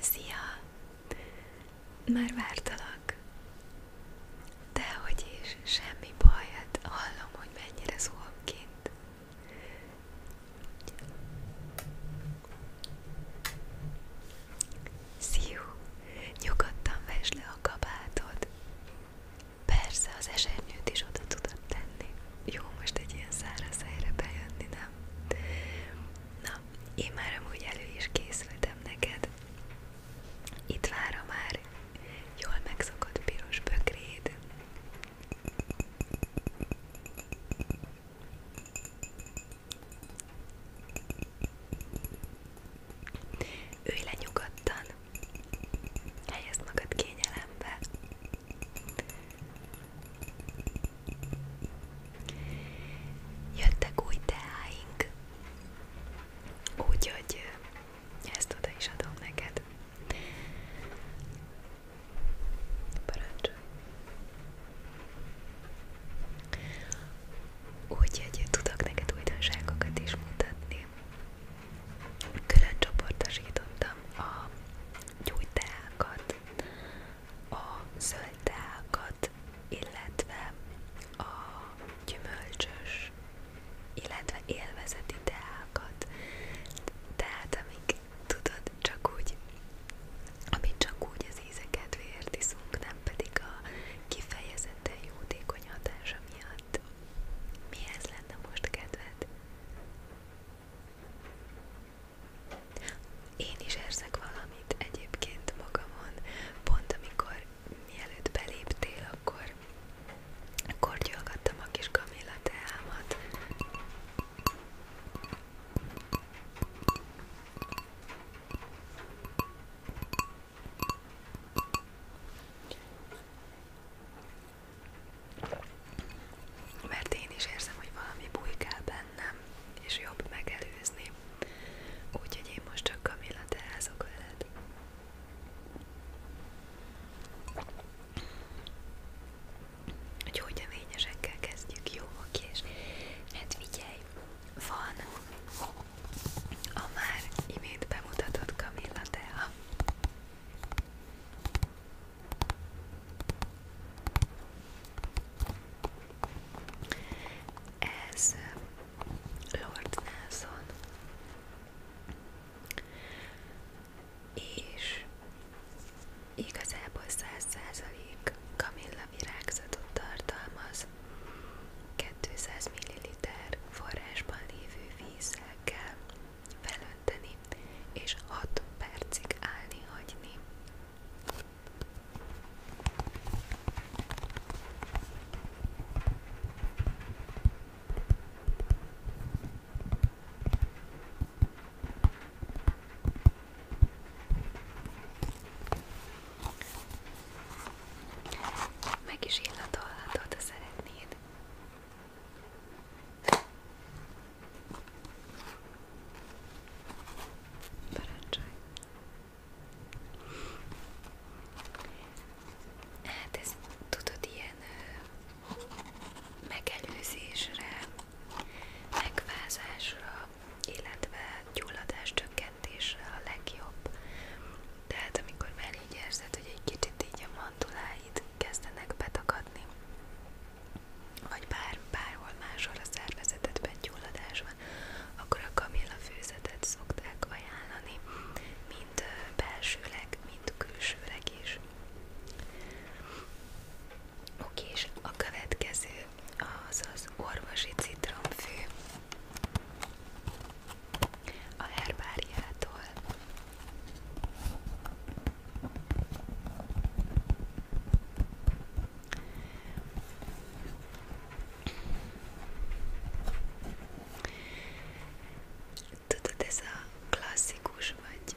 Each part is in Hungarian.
Szia! Már vártalak. hogy is, semmi baj, hát hallom, hogy mennyire szólok kint. Sziú, nyugodtan vesd le a kabátod. Persze az esernyőt is oda tudod tenni. Jó, most egy ilyen száraz helyre bejönni, nem? Na, én már amúgy elő is készültem neked. Itt vára már jól megszokott piros bögréd. Ülj le nyugodtan, helyezd magad kényelembe. Jöttek új teáink, úgyhogy ezt oda is adom neked. Parancsolj! Úgyhogy tudok neked újdonságokat is mutatni. Külön csoportosítottam a gyógyteákat, a zöldteákat, illetve a gyümölcsös, illetve élvezeti teákat. Tehát amik tudod, csak úgy, amit csak úgy az íze kedvéért iszunk, nem pedig a kifejezetten jótékony hatása miatt. Mihez lenne most kedved? Én is érzek valamit egyébként magamon, pont amikor mielőtt beléptél, akkor kortyolgattam a kis kamilla teámat. Mert én is érzem, hogy valami bujkál bennem, és jobb megelőzni. Úgyhogy én most csak Kamilla teázok veled gyógynövényesekkel kezdjük, jó, oké, és hát figyelj, van a már imént bemutatott Camilla Tea. Ez Lord Nelson. És Igazából 100% kamilla virágzatot tartalmaz, 200 ml forrásban lévő vízzel kell felönteni, és 6 percig állni hagyni. Meg is illatolhatod, ha szeretnéd. Parancsolj! Hát ez tudod ilyen megelőzésre, megvázásra, illetve gyulladás csökkentésre a legjobb. Tehát amikor már így érzed, hogy egy kicsit így a manduláid kezdenek betakadni, vagy bár, bárhol máshol a szervezetedben gyulladás van, akkor a kamilla főzetet szokták ajánlani, mind belsőleg, mind külsőleg is. Oké, és a következő az az orvosi citromfű a herbáriától. Tudod, ez a klasszikus vagy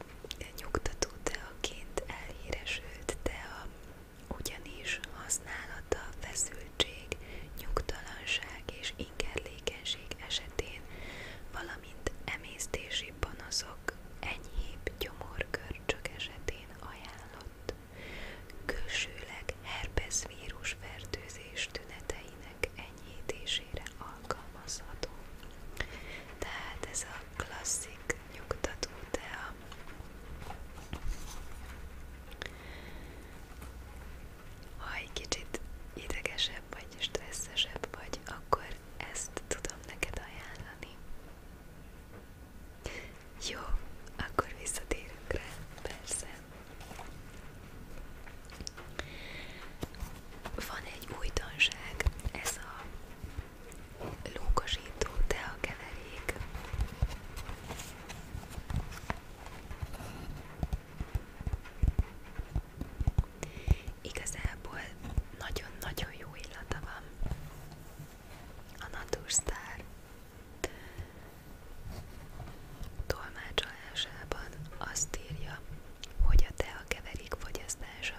nyugtató teaként elhíresült tea ugyanis használata feszültség, nyugtalanság és ingerlékenység esetén, valamint emésztési panaszok enyhébb gyomorgörcsök esetén ajánlott. Külsőleg herpes vírus fertőzés tüneteinek enyhítésére alkalmazható. Tehát ez a klasszik nyugtató tea. Ha egy kicsit idegesebb vagy, stresszesebb vagy, akkor ezt tudom neked ajánlani. Jó, akkor visszatérünk rá, persze. Van egy újdonság, ez a lúgosító teakeverék. Igazából nagyon-nagyon jó illata van a Naturstar tolmácsolásában azt írja, hogy a teakeverék fogyasztása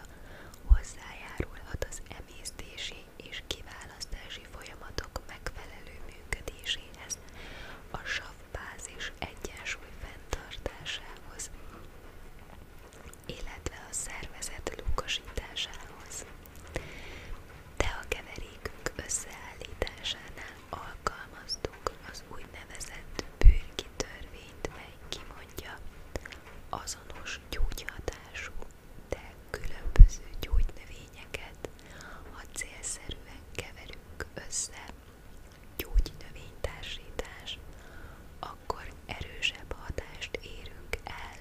hozzájárulhat az emésztési és kiválasztási folyamatok megfelelő működéséhez, a savbázis egyensúly fenntartásához, illetve a szervezet lukasításához. De a keverékünk összeállításánál alkalmaztuk az úgynevezett bőrki törvényt, mely kimondja azonos gyógyhatású de különböző gyógynövényeket, ha célszerűen keverünk össze gyógynövénytársítás, akkor erősebb hatást érünk el,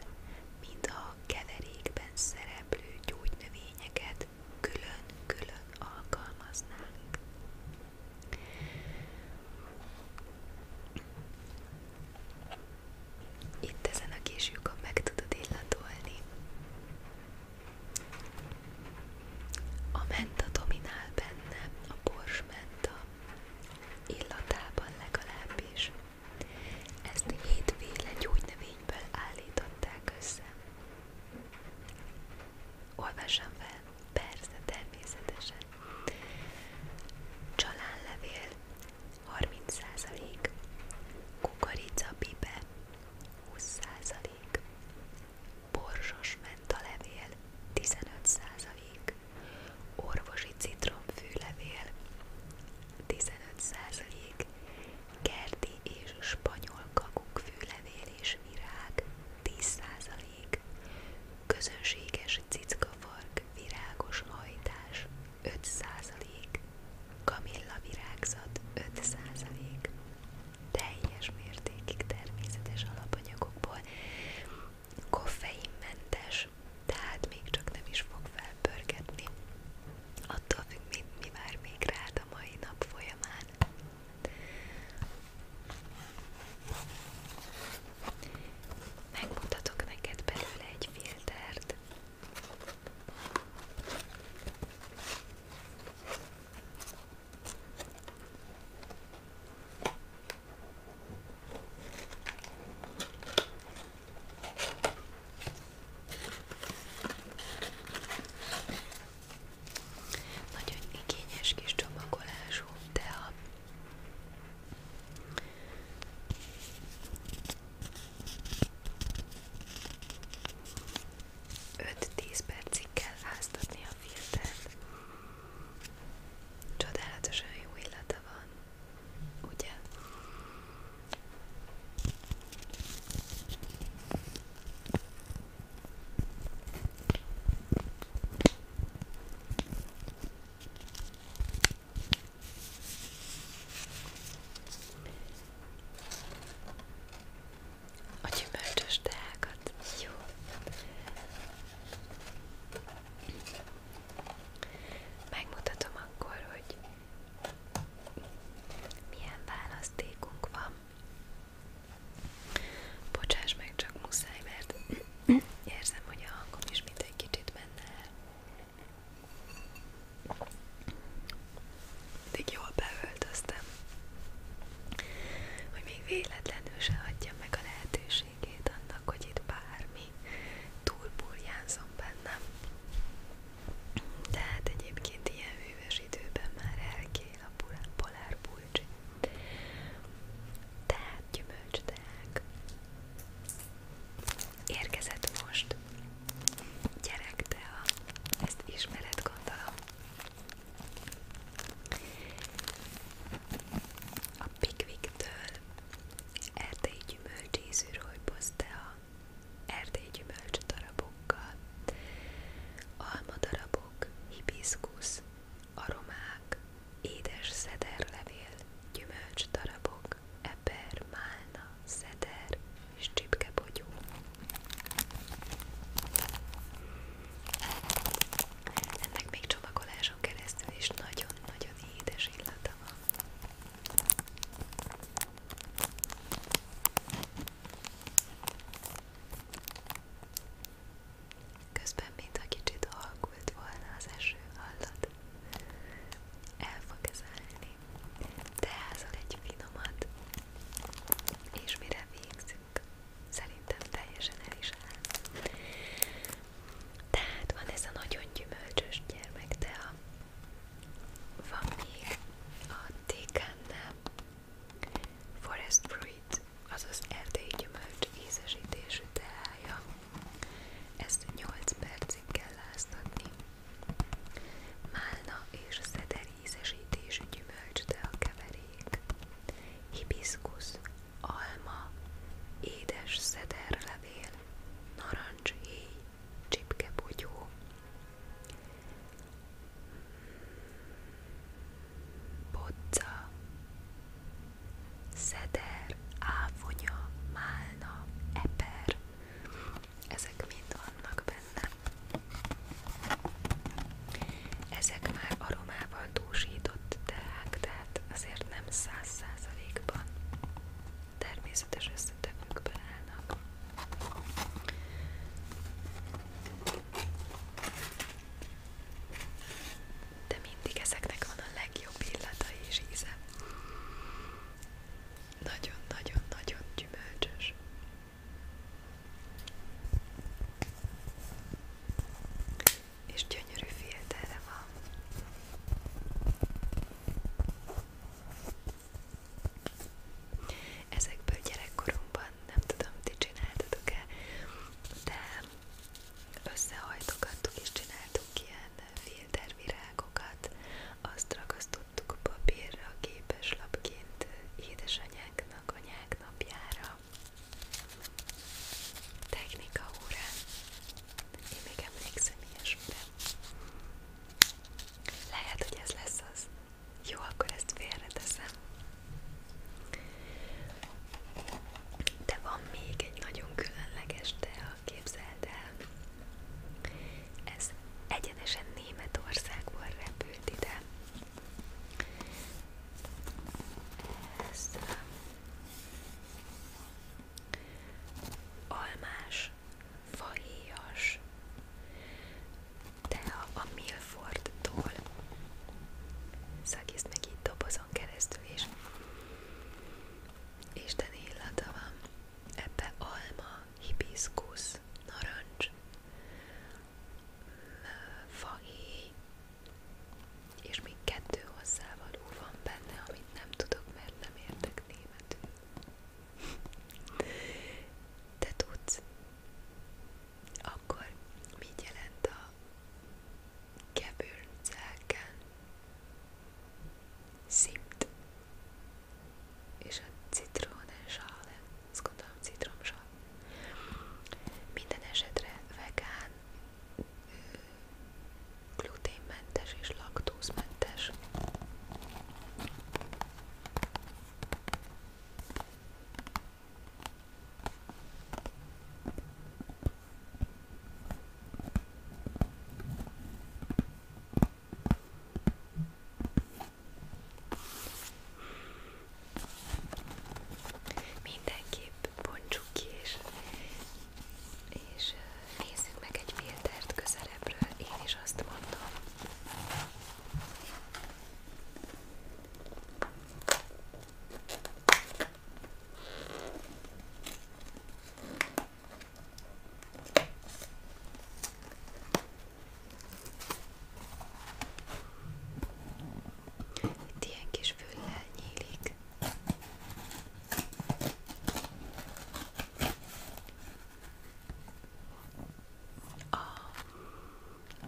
mint a keverékben szereplő gyógynövényeket külön-külön alkalmaznánk. Itt ezen a kis lyukon meg tudod illatolni. A menta dominál benne, a bors menta illatában legalábbis. Ezt hétféle gyógynövényből állították össze. Olvassam fel, persze, természetesen. Csalánlevél, 30%, kukorica bibe 20%, borsos mentalevél 15%, orvosi citromfűlevél 15%, kerti és spanyol kakukkfűlevél és virág 10%, közönséges cickafark virágos hajtás 5%, kamilla virágzat 5%, teljes mértékig természetes alapanyagokból, koffeinmentes, tehát még csak nem is fog felpörgetni. Attól függ, mi, mi vár még rád a mai nap folyamán. Megmutatok neked belőle egy filtert, nagyon igényes kis csomagolású, de a 5-10 percig kell háztatni a filtert. Csodálatosan jó illata van, ugye? A gyümölcsös teákat. Jó. Megmutatom akkor, hogy milyen választékunk van. Bocsáss meg, csak muszáj, mert érzem, hogy a hangom is mint egy kicsit menne el. Eddig jól beöltöztem, hogy még véletlenül se hagyjam meg a lehetőségét annak, hogy itt bármi túlburjánzom bennem. Tehát egyébként ilyen hűvös időben már elkél a polárbulcs. Tehát gyümölcs teák. Érkezett most. Gyerek, te a... Ezt ismered, gondolom. A Pickwick-től erdélyi gyümölcsízűről posztea erdélyi gyümölcs darabokkal, alma darabok, hibiszkusz, aromák, édes szederlevél, gyümölcs darabok, Madarak, eper, málna, szeder és csipkebogyó. Ennek még csomagoláson keresztül is nagyon-nagyon édes illata van. Közben, mintha kicsit halkult volna az eső, hallod? El fog ez állni teázol egy finomat, és mire végzünk, szerintem teljesen el is áll. Tehát van ez a nagyon gyümölcsös gyermek, de a, van még a tékánál forest fruit, azaz erdei gyümölcs ízesítésű teája. Ezt 8 percig kell láztatni. Málna és szeder ízesítésű gyümölcsde a alma, édes szederlevél, narancshéj, csipkepogyó. Bodza, szeder, áfonya, málna, eper, ezek mind vannak benne. Ezek már aromával túlsított teák, tehát azért nem száz százalékban természetes összetevőkből állnak. De mindig ezeknek van a legjobb illata és íze. Nagyon-nagyon-nagyon gyümölcsös. És gyönyörű filterre van. Ezekből gyerekkoromban nem tudom, ti csináltatok-e, de összehajtogattuk és csináltuk ilyen filtervirág virágokat, azt ragasztottuk papírra, képeslapként édesanyáknak, anyák napjára. Technika órán. Én még emlékszem ilyesmire. Lehet, hogy ez lesz az. Jó, akkor ezt félreteszem. De van még egy nagyon különleges tea, képzeld el. Ez egyenesen Németországból repült ide. Ez um, almás, fahéjas, de a, a Milfordtól szakítsd meg így dobozon keresztül is. Isteni illata van ebbe alma, hibiszkusz, narancs, fahéj, és még kettő hozzávaló van benne, amit nem tudok, mert nem értek németül. Te tudsz? Akkor mit jelent a gebürzelken? Szimt és a citronsál, azt gondolom citromsal. Minden esetre vegán, gluténmentes és laktózmentes. Mindenképp bontsuk ki, és, és nézzük meg egy filtert közelebbről, én is azt mondom. Itt ilyen kis füllel nyílik. A,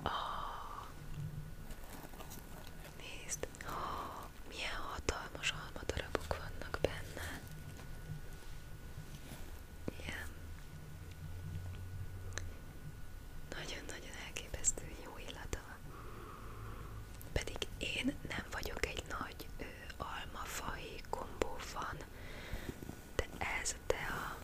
a, nézd, oh, milyen hatalmas almadarabok vannak benne. Ilyen nagyon-nagyon elképesztő jó illata van. Pedig én nem vagyok egy nagy ő, almafai kombó van, de ez de a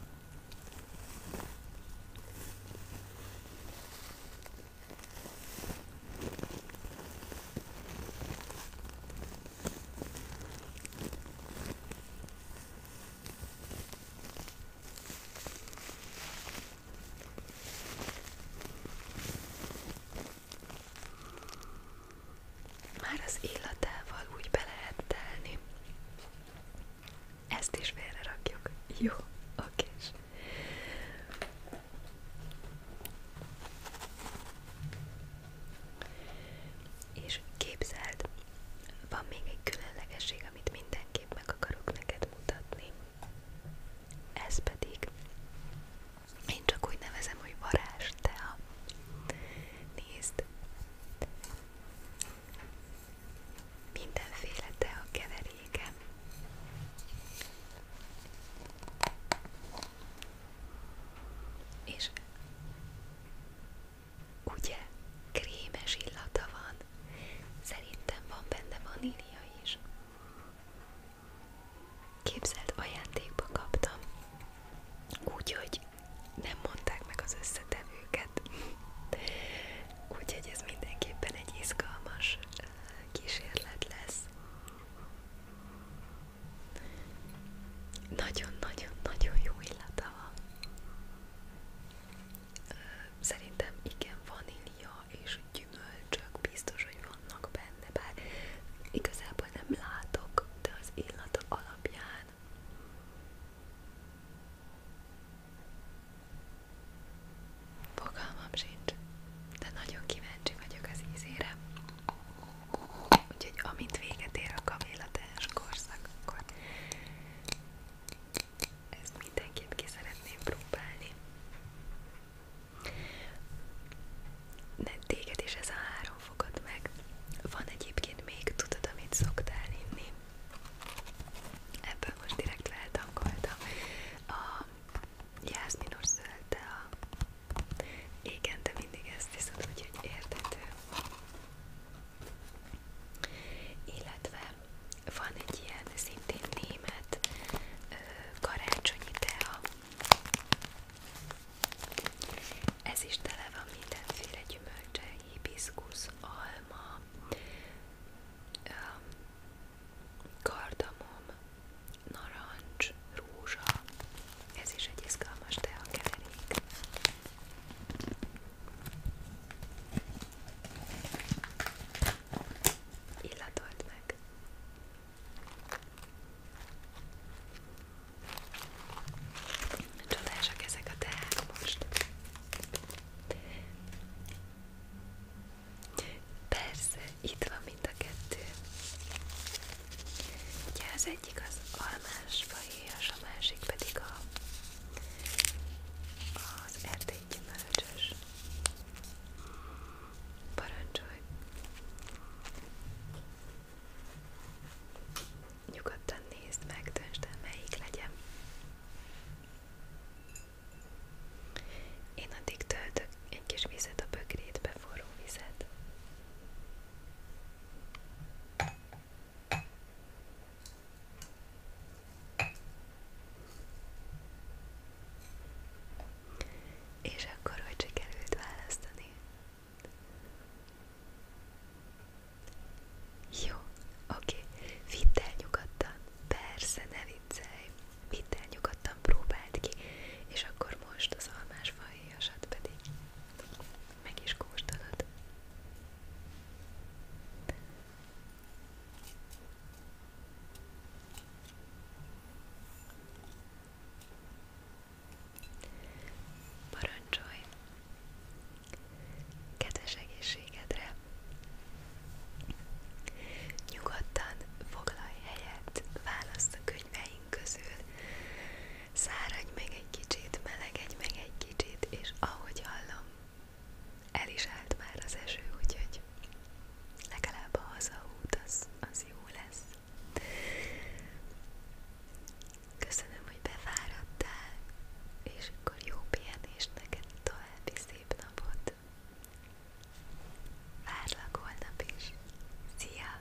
már az illatával úgy be lehet telni. Ezt is félre rakjuk. Jó, oké. És képzeld, van még egy különlegesség, amit mindenképp meg akarok neked mutatni. Ez pedig, én csak úgy nevezem, hogy varázstea. Nézd! Mindenféle tea keveréke. És Ugye? Krémes illata van. Szerintem van benne vanília is. Képzeld, ajándékba kaptam. Úgyhogy nem mondták meg az összetevőket. Úgyhogy ez mindenképpen egy izgalmas eh, kísérlet lesz. Nagyon-nagyon-nagyon jó illata van. Szerintem igen, vanília és gyümölcsök biztos, hogy vannak benne, bár igazából nem látok, de az illata alapján fogalmam sincs, de nagyon kíváncsi vagyok az ízére. Úgyhogy amint véget ér a kamélatás korszak, akkor ezt mindenképp ki szeretném próbálni. Ne téged is ez a három fogad meg. Van egyébként még, tudod, amit szoktál inni. Ebből most direkt leeltankoltam. A jászminos zöldtel a igen, de mindig ezt hiszed, úgyhogy érthető. Illetve van egy ilyen szintén német ö, karácsonyi tea. Ez is tele van mindenféle gyümölcse, hibiszkusz, alma, ö, kardamom, narancs, rózsa, ez is egy izgalmas teakeverék. Illatolt meg. Csodásak ezek a teák most. Persze, itt van mind a kettő. Ugye az egyik az almás fahéjas, a másik pedig a, az erdélyi gyümölcsös. Parancsolj! Nyugodtan nézd meg, döntsd el, melyik legyen. Én addig töltök egy kis vizet a bögrétbe, forró vizet. És akkor hogy sikerült választani? Jó, oké, vidd el nyugodtan, persze, ne viccelj, vidd el nyugodtan, próbáld ki, és akkor most az almásfaj héjasat pedig meg is kóstolod. Parancsolj! Kedves egészségedre! Nyugodtan foglalj helyet, választ a könyveink közül, Száradj meg egy kicsit, melegedj meg egy kicsit, és ahogy hallom, el is állt már az eső, úgyhogy legalább a hazaút az, az jó lesz. Köszönöm, hogy befáradtál, és akkor jó pihenést neked további szép napot. Várlak holnap is. Szia!